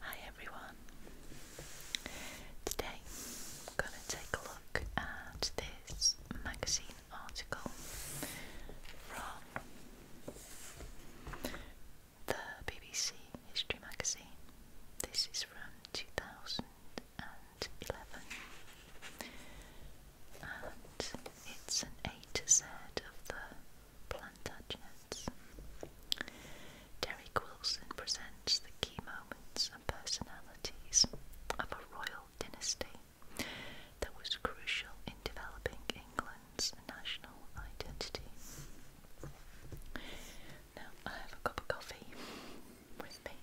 Hi everyone. Today I'm going to take a look at this magazine article from the BBC History magazine. This is from 2011 and it's an A to Z of the Plantagenets. Derek Wilson presents the key moments and personalities of a royal dynasty that was crucial in developing England's national identity. Now I have a cup of coffee with me.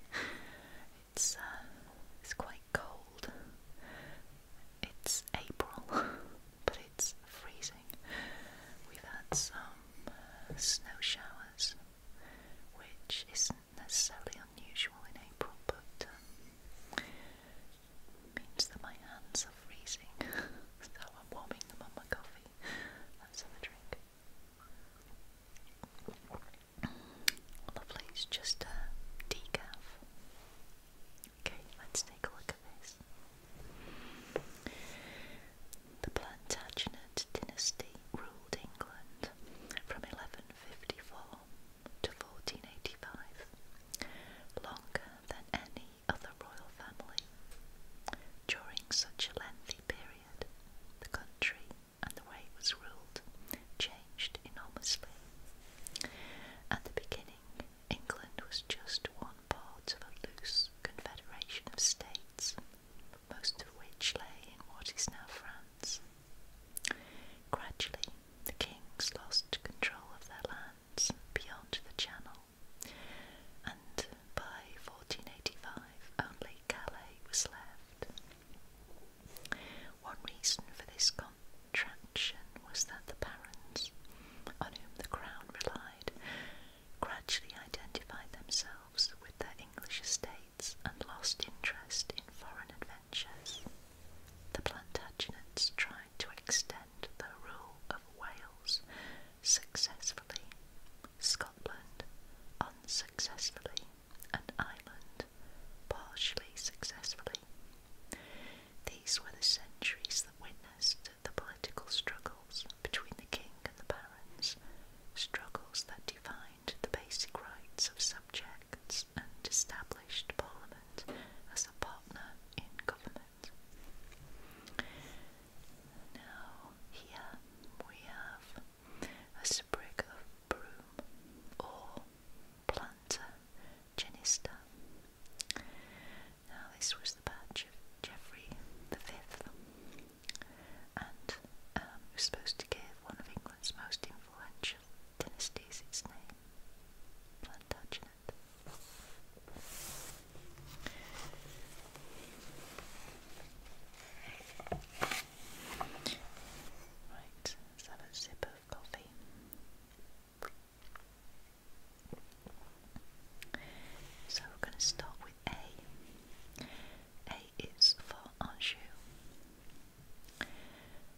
It's uh, it's quite cold. It's April. but it's freezing. We've had some uh, snow showers, which isn't necessarily unusual in April, but um, means that my hands are freezing, so I'm warming them on my coffee. That's another drink. Lovely, it's just a decaf. Okay, let's take a look at this. The Plantagenet dynasty ruled England from 1154 to 1485, longer than any other royal family. During such a lengthy period, the country and the way it was ruled changed enormously. At the beginning England was just one part of a loose confederation of states, most of which lay in what is now France. Gradually, the kings lost control of their lands beyond the Channel, and by 1485 only Calais was left. One reason for this contraction was that the barons, on whom the crown relied, gradually identified themselves with their English estates and lost interest in foreign adventures. The Plantagenets tried to extend the rule of Wales successfully, Scotland unsuccessfully, and Ireland partially successfully. These were the centuries that went the political struggles between the king and the barons, struggles that defined the basic rights of subjects and established Parliament as a partner in government. Now, here we have a sprig of broom or planter genista. Now, this was the badge of Geoffrey Fifth, and um, was supposed to give one of England's most influential dynasties its name Plantagenet. Right, let's have a sip of coffee. So we're going to start with A. A is for Anjou.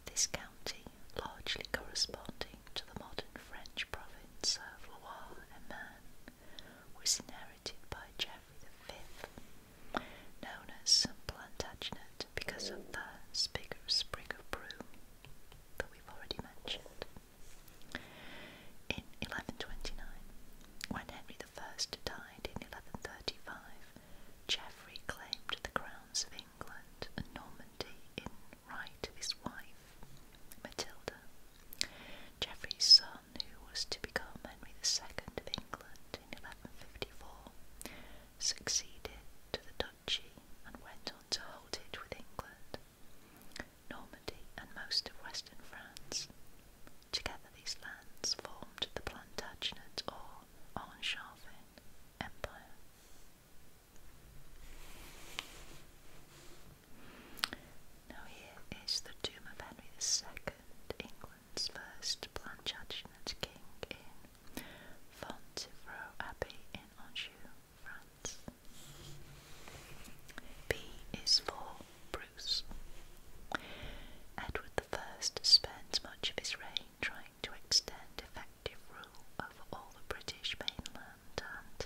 This county, largely corresponding to the modern French province of Loire was inherited by Geoffrey V, known as Plantagenet because of the bigger sprig of broom that we've already mentioned. In 1129, when Henry I died in 1135, Geoffrey claimed the crowns of England and Normandy in right of his wife, Matilda. Geoffrey's son, who was to become Henry II of England in 1154, succeeded to the duchy and went on to hold it with England Normandy, and most of western France. Together, these lands formed the Plantagenet or Anscharvin Empire. Now, here is the tomb of Henry II, England's first Plantagenet king, in Fontevraud Abbey in Anjou. B is for Bruce. Edward I spends much of his reign trying to extend effective rule over all the British mainland and,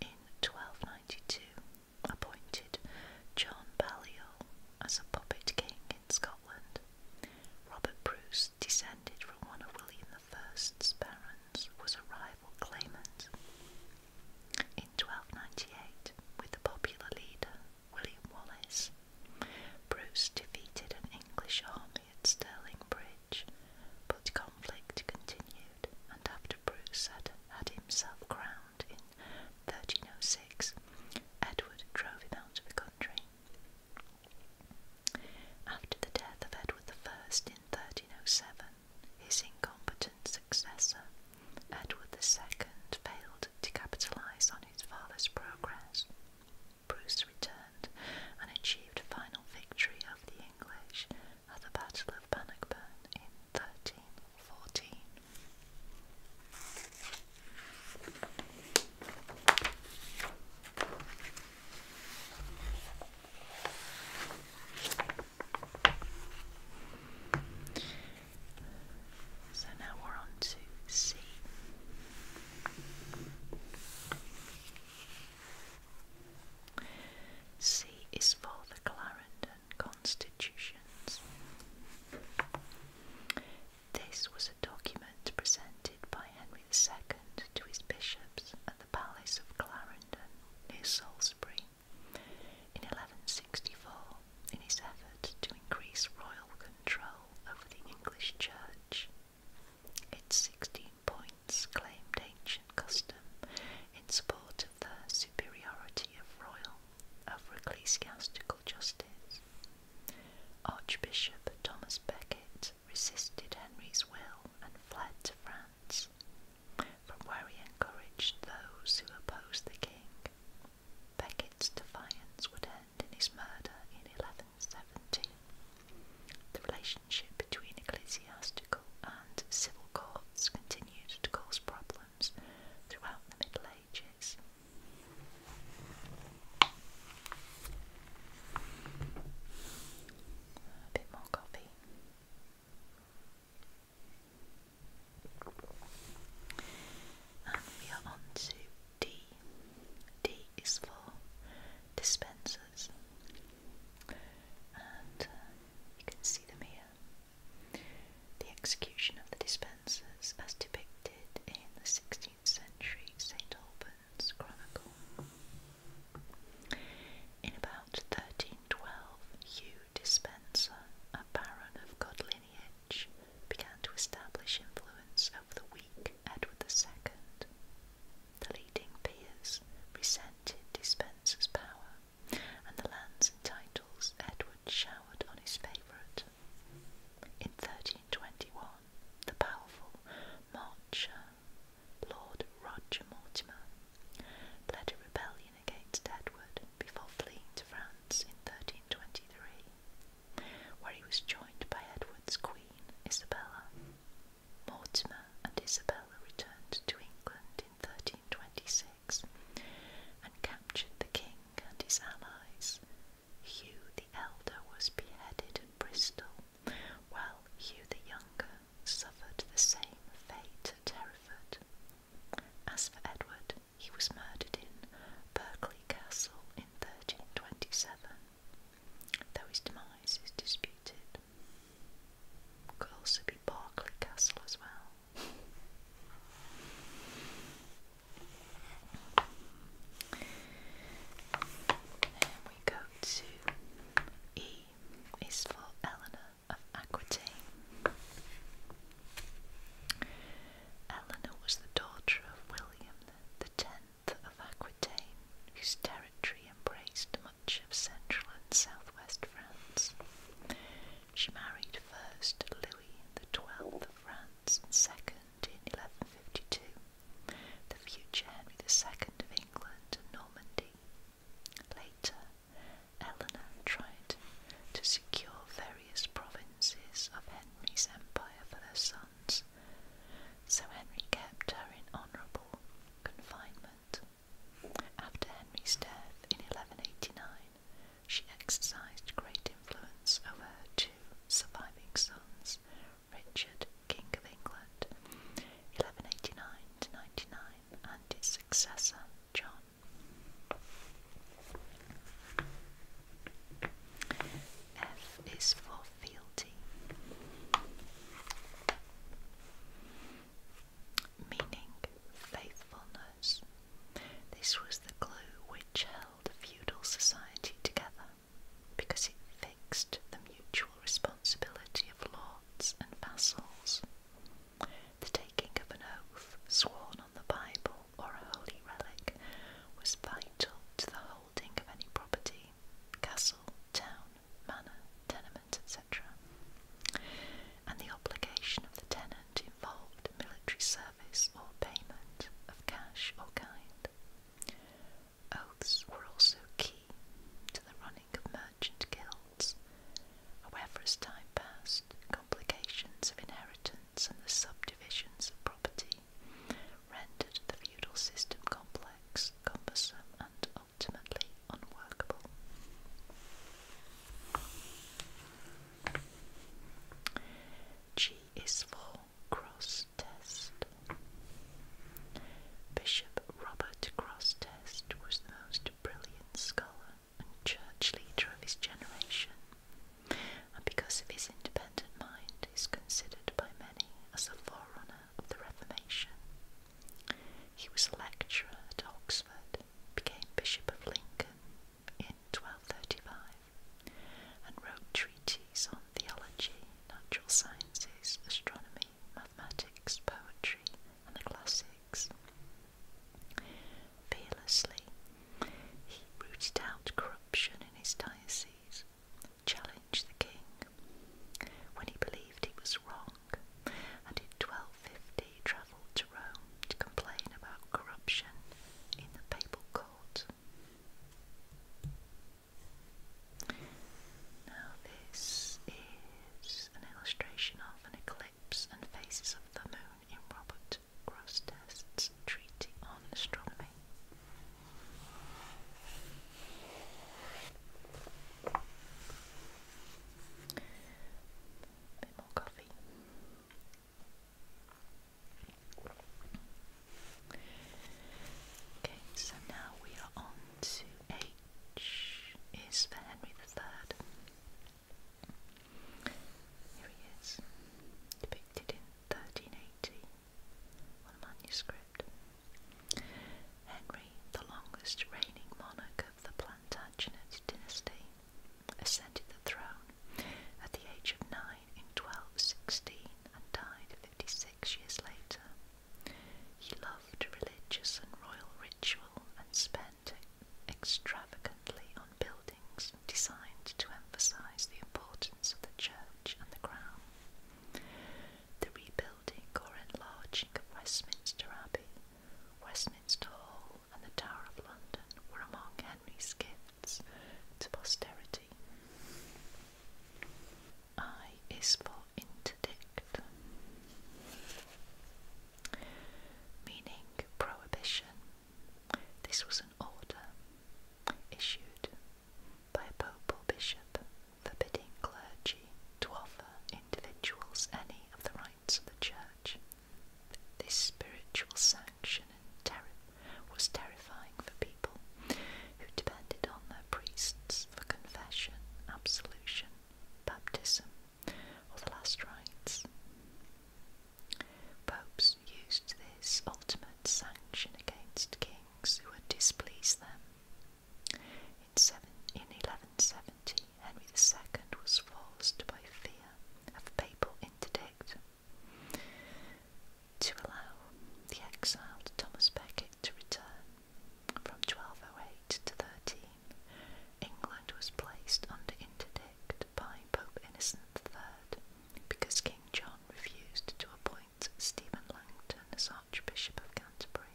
in 1292, appointed John Balliol as a puppet king in Scotland. Robert Bruce descended from one of William I's parents was a rival claimant. In 1298, with the popular leader William Wallace, Bruce defeated an English army at Stirling Bridge, but conflict continued, and after Bruce had had himself crowned in 1306, Edward drove him out of the country. After the death of Edward I in 1307, his incompetent successor, Edward II, failed to capitalize on his father's progress. Bruce returned and achieved final victory over the English at the Battle of Bannockburn in 1314. So now we're on to C. C is for the Clarendon Constitutions. This was a document presented by Henry II to his bishops at the Palace of Clarendon, near Salisbury, in 1164 in his effort to increase royal control over the English Church. Its 16 points claimed ancient custom in support of the superiority of royal over ecclesiastical justice. Archbishop Thomas Becket resisted Henry's will and fled to France, from where he encouraged those who opposed the king. Becket's defiance would end in his murder in 1170. The relationship between ecclesiastical and civil courts continued to cause problems throughout the Middle Ages. A bit more coffee. And we are on to D. D is for dispensers, and uh, you can see them here. The execution of the dispensers, as depicted in the 16th century St. Albans Chronicle. In about 1312, Hugh Dispenser, a baron of good lineage, began to establish influence over the weak Edward II. The leading peers resented Dispenser's power, and the lands and titles Edward showered on his favourite. In 1321, the powerful Marcher Lord Roger Mortimer, led a rebellion against Edward before fleeing to France in 1323, where he was joined by Edward's queen, Isabella. Mortimer and Isabella returned to England in 1326 and captured the king and his allies. Hugh the Elder was beheaded at Bristol, while Hugh the Younger suffered the same fate at Hereford. As for Edward, he was murdered in Berkeley Castle in 1327, though his demise is disputed. Could also be Berkeley Castle as well. Then we go to E is for Eleanor of Aquitaine. Eleanor was the daughter of William X of Aquitaine, whose territory embraced much of central and southwest France. She married first Louis XII of France and second in 1152 the future Henry II of England and Normandy. Later, Eleanor tried to secure various provinces of Henry's empire for their sons, so Henry kept her in honourable confinement. After Henry's death in 1189, she exercised great influence over her two surviving sons, Richard, King of England, 1189 to 99, and his successor, John. F is for fealty, meaning faithfulness. This was the glue which held feudal society together because it fixed the mutual responsibility of lords and vassals. The taking of an oath sworn on the Bible or a holy relic was vital to the holding of any property, castle, town, manor, tenement, etc. And the obligation of the tenant involved military service or payment of cash or kind. Oaths were also key to the running of merchant guilds results. However, as time passed, complications of inheritance and the subdivisions of property rendered the feudal system complex, cumbersome, and ultimately unworkable. G is for Cross Test. Bishop Robert Cross Test was the most brilliant scholar and church leader of his generation, and because of his independent mind is considered by many as the forerunner of the Reformation. He was a lecturer at Oxford, became Bishop of Lincoln in 1235, and wrote treatises on theology, natural sciences, astronomy, mathematics, poetry, and the classics. Fearlessly, he rooted out corruption in his diocese, challenged the king when he believed he was wrong, and in 1250 travelled to Rome to complain about corruption in the papal court. Now, this an illustration of an eclipse and phases of the moon in Robert Grostest's Treatise on Astronomy. Okay, so now we are on to a is for Henry III. Here he is, depicted in 1380 on a manuscript. Henry, the longest reigning monarch of the Plantagenet dynasty, ascended the throne at the age of nine in 1216 and died 56 years later he loved religious and royal ritual and spent extravagantly on buildings designed to emphasize the importance of the church and the crown. The rebuilding or enlarging of Westminster Abbey, Westminster Hall, and the Tower of London were among Henry's gifts to posterity. I is for interdict, meaning prohibition. This was an order issued by a pope or bishop forbidding clergy to offer individuals any of the rights of the church. This spiritual sanction and terror was terrifying for people who depended on their priests for confession, absolution, baptism, or the last rites. Popes used this ultimate sanction against kings who had displeased them. In, seven, in 1170, Henry II was forced by fear of papal interdict to allow the exiled Thomas Becket to return from 1208 to 13, England was placed under interdict by Pope Innocent III because King John refused to appoint Stephen Langton as Archbishop of Canterbury.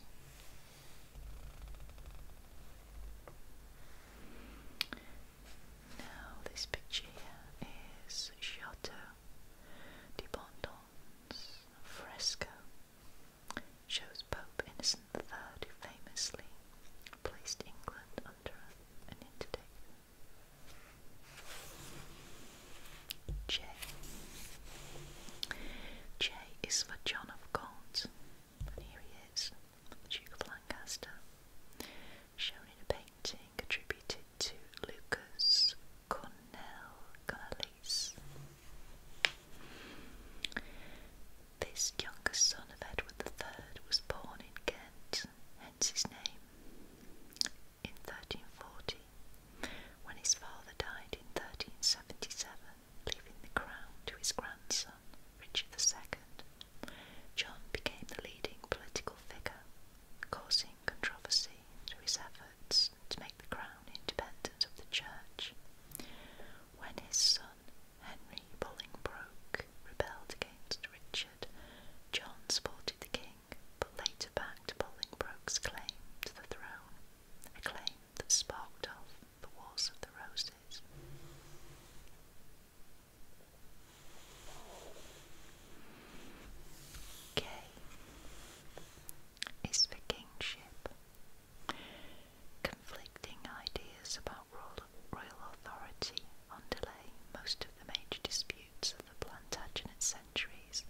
Now, this picture here is Chateau de Bondons fresco shows Pope Innocent III who famously placed England under an interdict. J. J is for John of Gaunt, and here he is, Duke of Lancaster, shown in a painting attributed to Lucas Cornelis this youngest son of Edward III was born in Kent, hence his name, in 1340, when his father died in 1377, leaving the crown to his grandson, Richard II. John became the leading political figure, causing controversy through his efforts to make the crown independent of the church. When his son Henry Bolingbroke rebelled against Richard, John supported the king but later backed Bolingbroke's claim to the throne, a claim that sparked off the Wars of the Roses. K is for kingship. Conflicting ideas about royal authority underlay most of the major disputes of the Plantagenet centuries.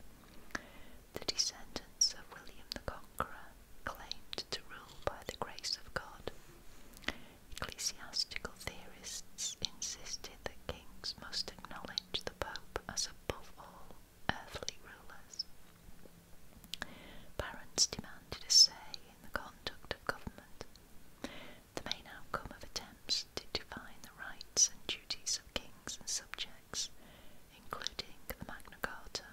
The descendants of William the Conqueror claimed to rule by the grace of God. Ecclesiastical theorists insisted that kings must acknowledge the Pope as above all earthly rulers. Parents demanded a say in the conduct of government. The main outcome of attempts to define the rights and duties of kings and subjects, including the Magna Carta,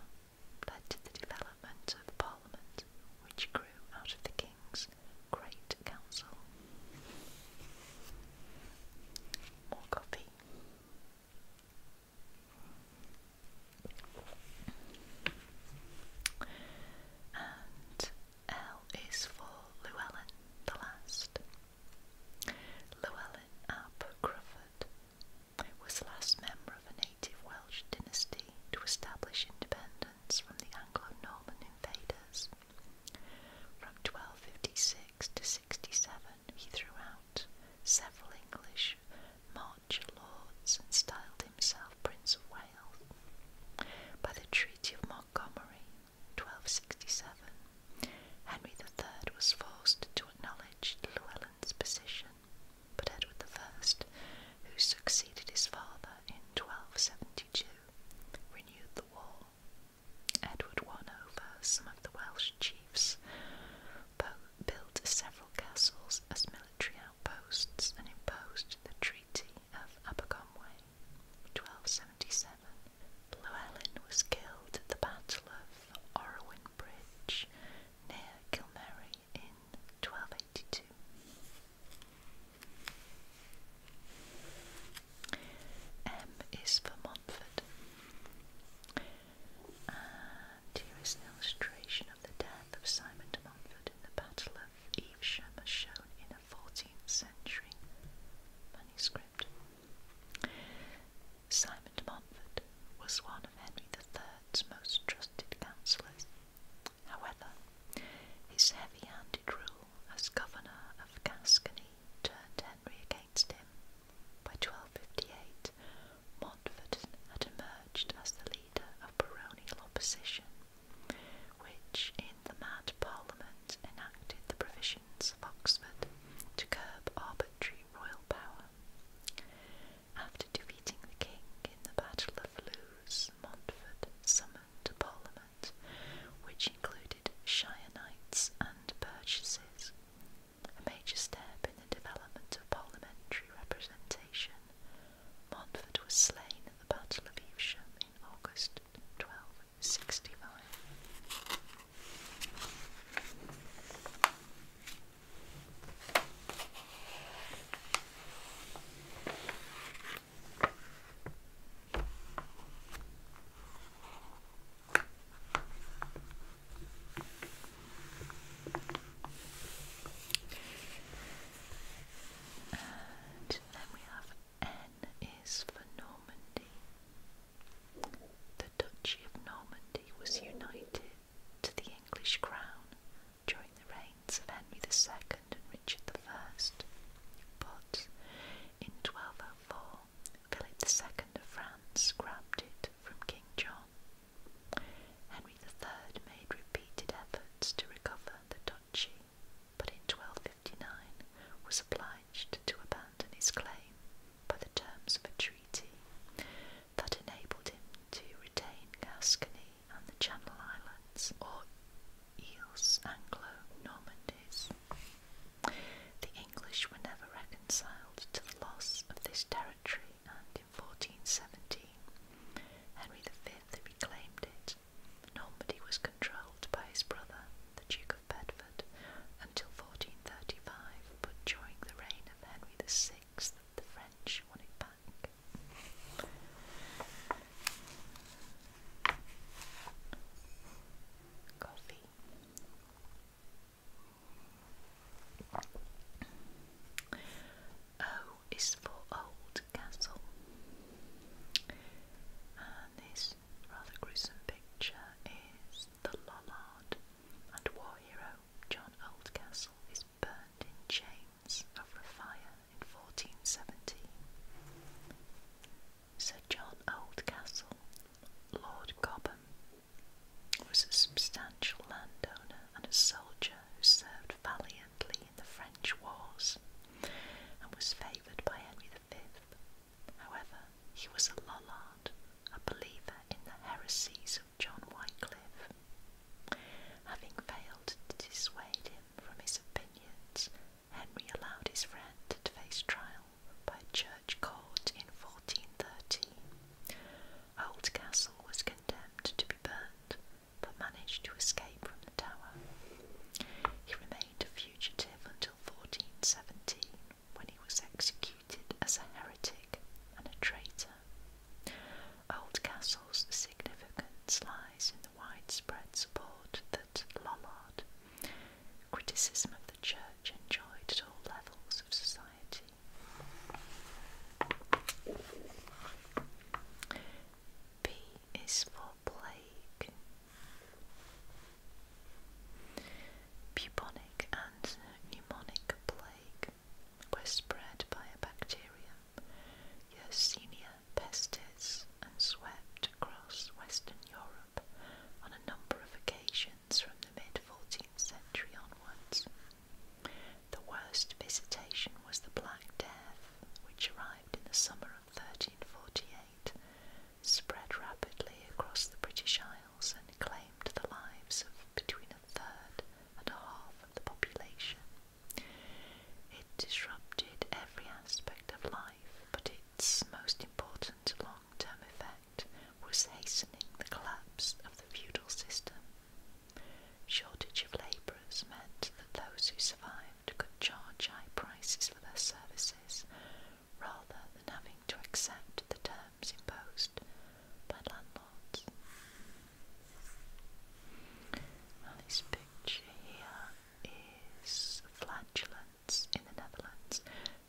led to the development of Parliament, which grew out of the king's Great Council. More coffee. And L is for Llewellyn, the last. Llewellyn ap Crufford was the last member of a native Welsh dynasty to establish independence from the Anglo-Norman invaders. From 1256 to 67, he threw out several English March lords and styled himself Prince of Wales. By the Treaty of Montgomery, 1267, Henry III was forced to acknowledge Llywelyn's position, but Edward I, who succeeded his father in 1272, renewed the war. Edward won over some of the Welsh chiefs built several castles as military outposts and imposed the Treaty of Aberconway, 1277. Llewellyn was killed at the Battle of Orwin Bridge near Kilmerry in 1282. M is for Montfort here is an illustration of the death of Simon de Montfort in the Battle of Evesham, as shown in a 14th century manuscript. Simon de Montfort was one of Henry III's most trusted counsellors. However, his heavy handed rule as governor of Gascony turned Henry against him by 1258, Montfort had emerged as the leader of baronial opposition, which in the Mad Parliament enacted the provisions of Oxford to curb arbitrary royal power. After defeating the king in the Battle of Lewes, Montfort summoned a parliament which included shire and purchases, a major step in the development of parliamentary representation, Montfort was slain at the Battle of Evesham in August 1265. And then we have N is for Normandy. The Duchy of Normandy was united to the English crown during the reigns of Henry II and Richard I, but in 1204 Philip II of France grabbed it from King John. Henry III made repeated efforts to recover the duchy, but in 1259 was obliged to abandon his claim by the terms of a treaty that enabled him to retain Gascony and the Channel Islands, or East Anglo-Normandies. The English were never reconciled to the loss of this territory and in 1417 Henry V reclaimed it. Normandy was controlled by his brother, the Duke of Bedford, until 1435, but during the reign of Henry VI, the French won it back. Coffee. O oh, is for Old And this rather gruesome picture is the Lollard and war hero John Oldcastle is burned in chains over a fire in 1470. Sir John Oldcastle, Lord Cobham, was a substantial landowner and a soldier who served valiantly in the French wars and was favoured by Henry V. However, he was a Lollard, a believer in the heresies of John Wycliffe. Having failed to dissuade him from his opinions, Henry allowed his friend to face trial by a church court in 1413. Holt Castle was condemned to be burned, but managed to escape from the tower. He remained a fugitive until 1417, when he was executed as a heretic and a traitor. Old Castle's significance lies in the widespread support that Lollard, criticism of the church, enjoyed at all levels of society. B is for plague. Bubonic and pneumonic plague were spread by a bacterium, Yersinia pestis, and swept across Western Europe on a number of occasions from the mid 14th century onwards. The worst visitation was the Black Death, which arrived in the summer of 1348, spread rapidly across the British Isles, and claimed the lives of between a third and a half of the population. It disrupted every aspect of life, but its most important long term effect was hastening the collapse of the feudal system. Shortage of labourers meant that those who survived could charge high prices for their services rather than having to accept the terms imposed by landlords. Now, this picture here is flatulence in the Netherlands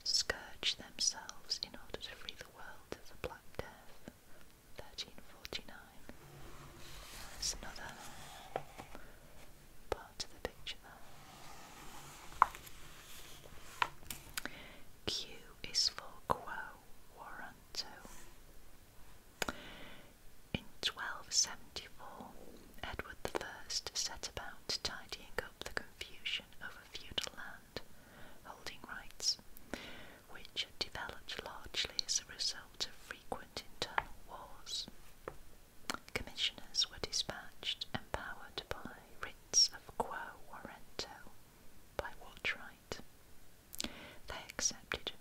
scourge themselves in order to free the world of the Black Death. 1349. There's another part to the picture Q is for quo warranto. In 1274, Edward I set about tidying up the confusion over feudal land holding rights, which developed largely as a result of frequent internal wars. Commissioners were dispatched, empowered by writs of quo warranto by what right. They accepted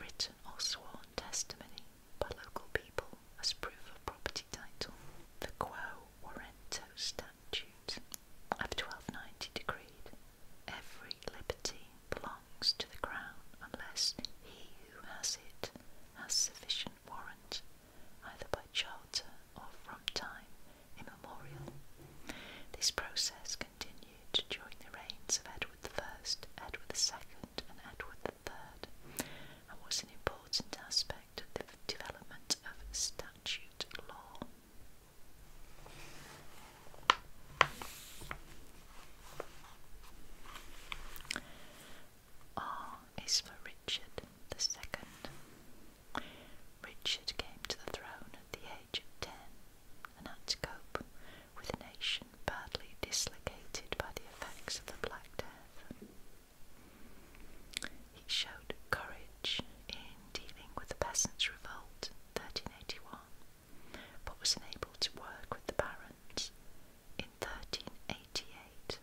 written or sworn testimony by local people as proof of property title. The quo warranto stamp of 1290 decreed every liberty belongs to the crown unless he who has it has sufficient warrant either by charter or from time immemorial. This process continued during the reigns of Edward I, Edward II, and Edward III, and was an important aspect of the development of statute law. R is for Richard II. Richard came to the throne at the age of ten and had to cope with a nation badly dislocated by the effects of the Black Death. He showed courage in dealing with the Peasants' Revolt 1381, but was unable to work with the barons in 1388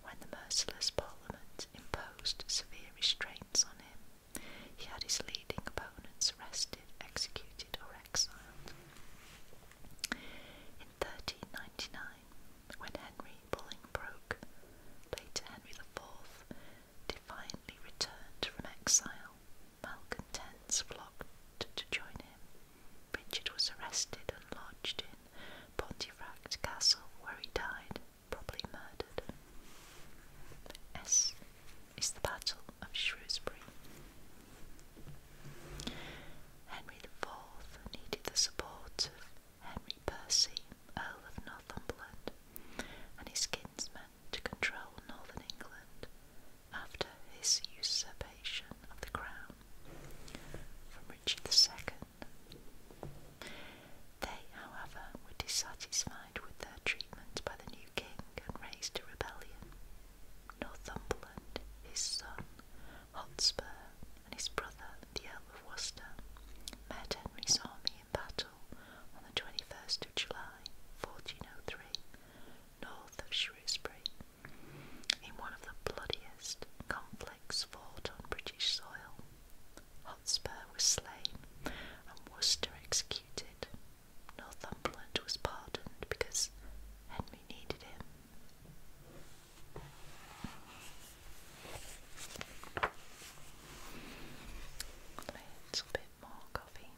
when the merciless Parliament imposed severe restraints on him. He had his leading opponents arrested, executed, or exiled. In 1399, when Henry Bolingbroke, later Henry IV, divinely returned from exile, malcontents flocked to join him. Richard was arrested and lodged in Pontefract Castle, where he died, probably murdered. S is the Battle of Shrewsbury. Henry IV needed the support of Henry Percy, Earl of Northumberland, and his kinsmen to control northern England after his usurpation of the crown from Richard II. They, however, were dissatisfied with their treatment by the new king and raised a rebellion. Northumberland, his son, Hotspur, and his brother, the Earl of Worcester, met Henry's army in battle on the 21st of July, 1403, north of Shrewsbury, in one of the bloodiest conflicts fought on British soil. Hotspur was slain and Worcester executed. Northumberland was pardoned because Henry needed him. A little bit more coffee.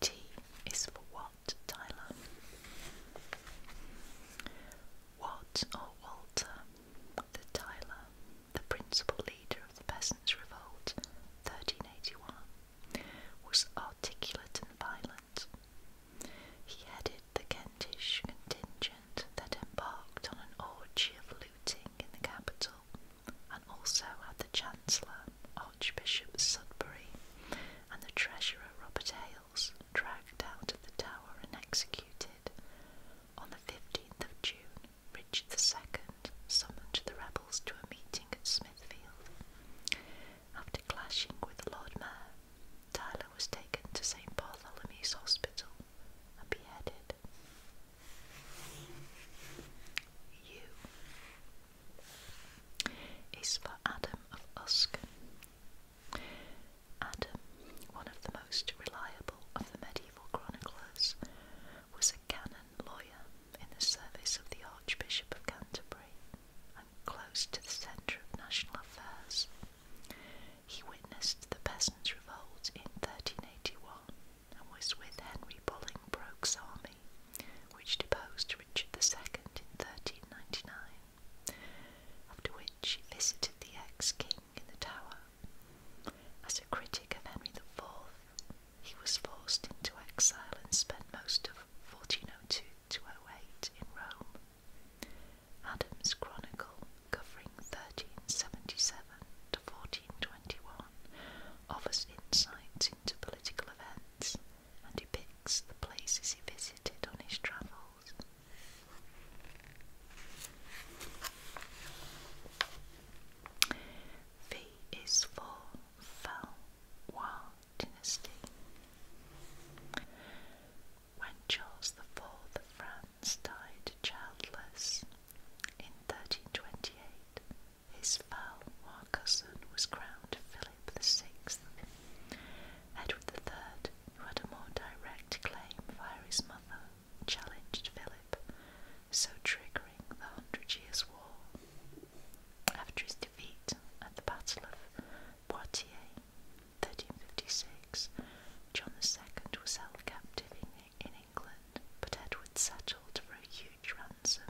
T is for what, Tyler? Watt or Walter, the Tyler, the principal leader of the Peasants' Revolt, 1381, was articulate and violent. He headed the Kentish contingent that embarked on an orgy of looting in the capital and also had the Chancellor, Archbishop Sudbury, and the Treasurer Robert Hales dragged out of the tower and executed. On the 15th of June, Richard II summoned the rebels to a meeting at Smithfield. After clashing with the Lord Mayor Tyler was taken to St. Bartholomew's Hospital and beheaded. U is for Adam of Usk. Adam, one of the most reliable of the medieval chroniclers, was a canon lawyer in the service of the Archbishop of Canterbury and close to the centre of national affairs. He witnessed the Peasants' Revolt in 1381 and was with Henry Bolingbroke's army, which deposed Richard II in 1399, after which he visited the ex-king in the Tower. As a critic of Henry IV, he was forced into exile and spent most of 1402 to 08 in Rome, Adam's Chronicle, covering 1377 to 1421, offers insight into political events and depicts the places he visited on his travels. V is for Fell, Wa, dynasty. When Charles IV of France died childless in 1328, his foul cousin was crowned Philip VI. Edward III, who had a more direct claim via his mother, challenged Philip, so triggering the Hundred Years' War. After his defeat at the Battle of Poitiers 1356, John II was held captive in, England, but Edward settled for a huge ransom.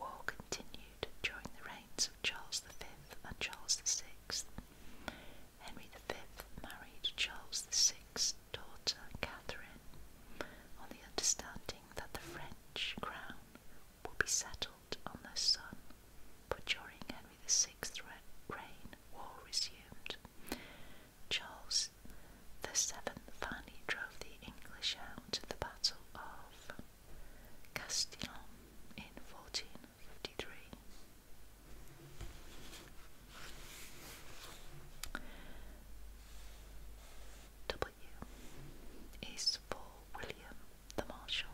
War continued during the reigns of Charles V and Charles VI. Henry V married Charles VI's daughter Catherine on the understanding that the French crown will be settled on the sun, but during Henry the VI's reign, war resumed. Charles the Seventh, finally drove the English out at the Battle of Castillon in 1453. W is for William the Marshal.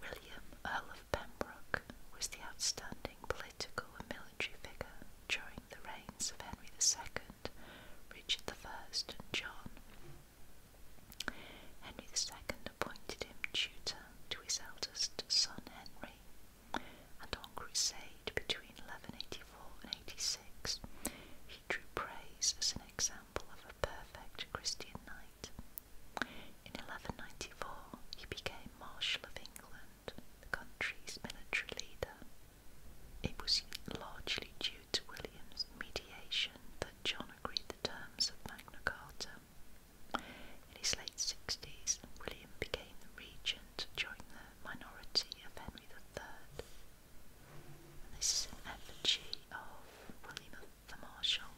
William, Earl of Pembroke, was the outstanding political and military figure during the reigns of Henry II, Richard I, and John. Henry II appointed him tutor to his eldest son Henry, and on crusade between 1184 and 86, he drew praise as an example in 1194, he became Marshal of England, the country's military leader. It was largely due to William's mediation that John agreed the terms of Magna Carta. In his late 60s, William became the regent during the minority of Henry III, and this is an effigy of William the Marshal,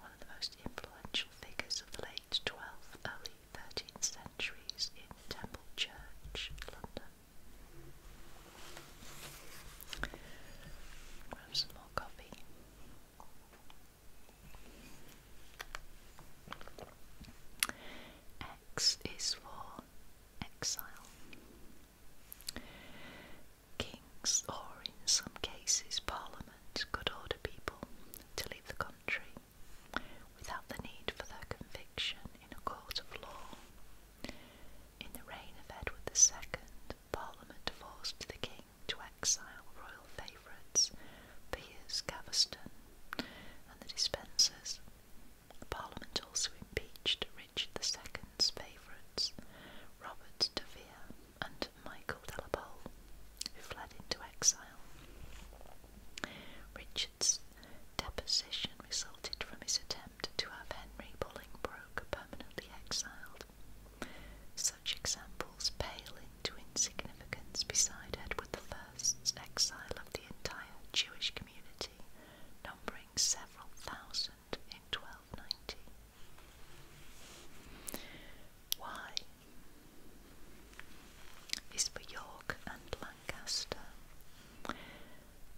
one of the most influential figures of the late 12th, early 13th centuries in Temple Church, London. Grab some more coffee. X is for exile. Kings, or in some cases parliaments, could order people to leave the country without the need for their conviction in a court of law. In the reign of Edward II, Parliament forced the king to exile royal favourites, peers Gaveston, and the dispensers Parliament also impeached Richard II's favourites, Robert de Vere and Michael de la Pole, who fled into exile. Richard's deposition resulted from his attempt to have Henry Bolingbroke permanently exiled. Such examples pale into insignificance beside Edward I's exile of the entire Jewish community community, numbering several thousand in 1290. Why? Is for York and Lancaster.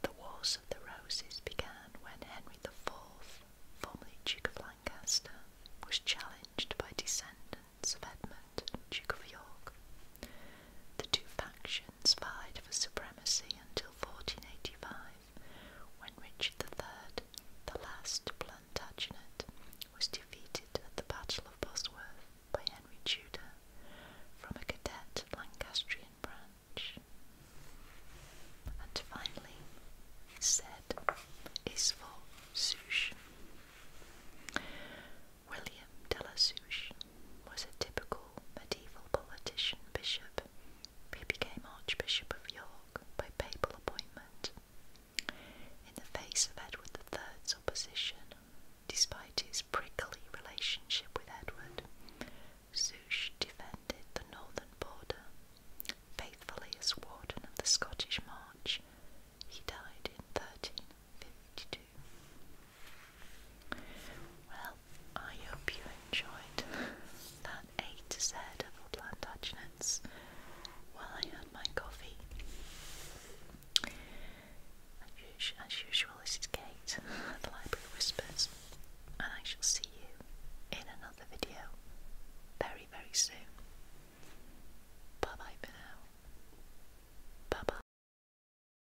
The Wars of the Roses began when Henry IV, formerly Duke of Lancaster, was challenged by descendants of Edmund, Duke of York. The two factions Netherlands for supremacy until 1485, when Richard III, the last Plantagenet, was defeated at the Battle of Bosworth by Henry Tudor from a cadet Lancastrian branch. And finally, said, is for Souche. William de la Souche was a typical medieval politician bishop He became Archbishop of York by papal appointment. In the face of Edward III's opposition, despite his prickly relationship with Edward, Souche defended the northern border. Faithfully as warden of the Scottish March, he died in 13 well, I hope you enjoyed that eight to Z of Plantagenets while I had my coffee. As usual, this is Kate the Library Whispers, and I shall see you in another video very, very soon. Bye bye for now. Bye bye.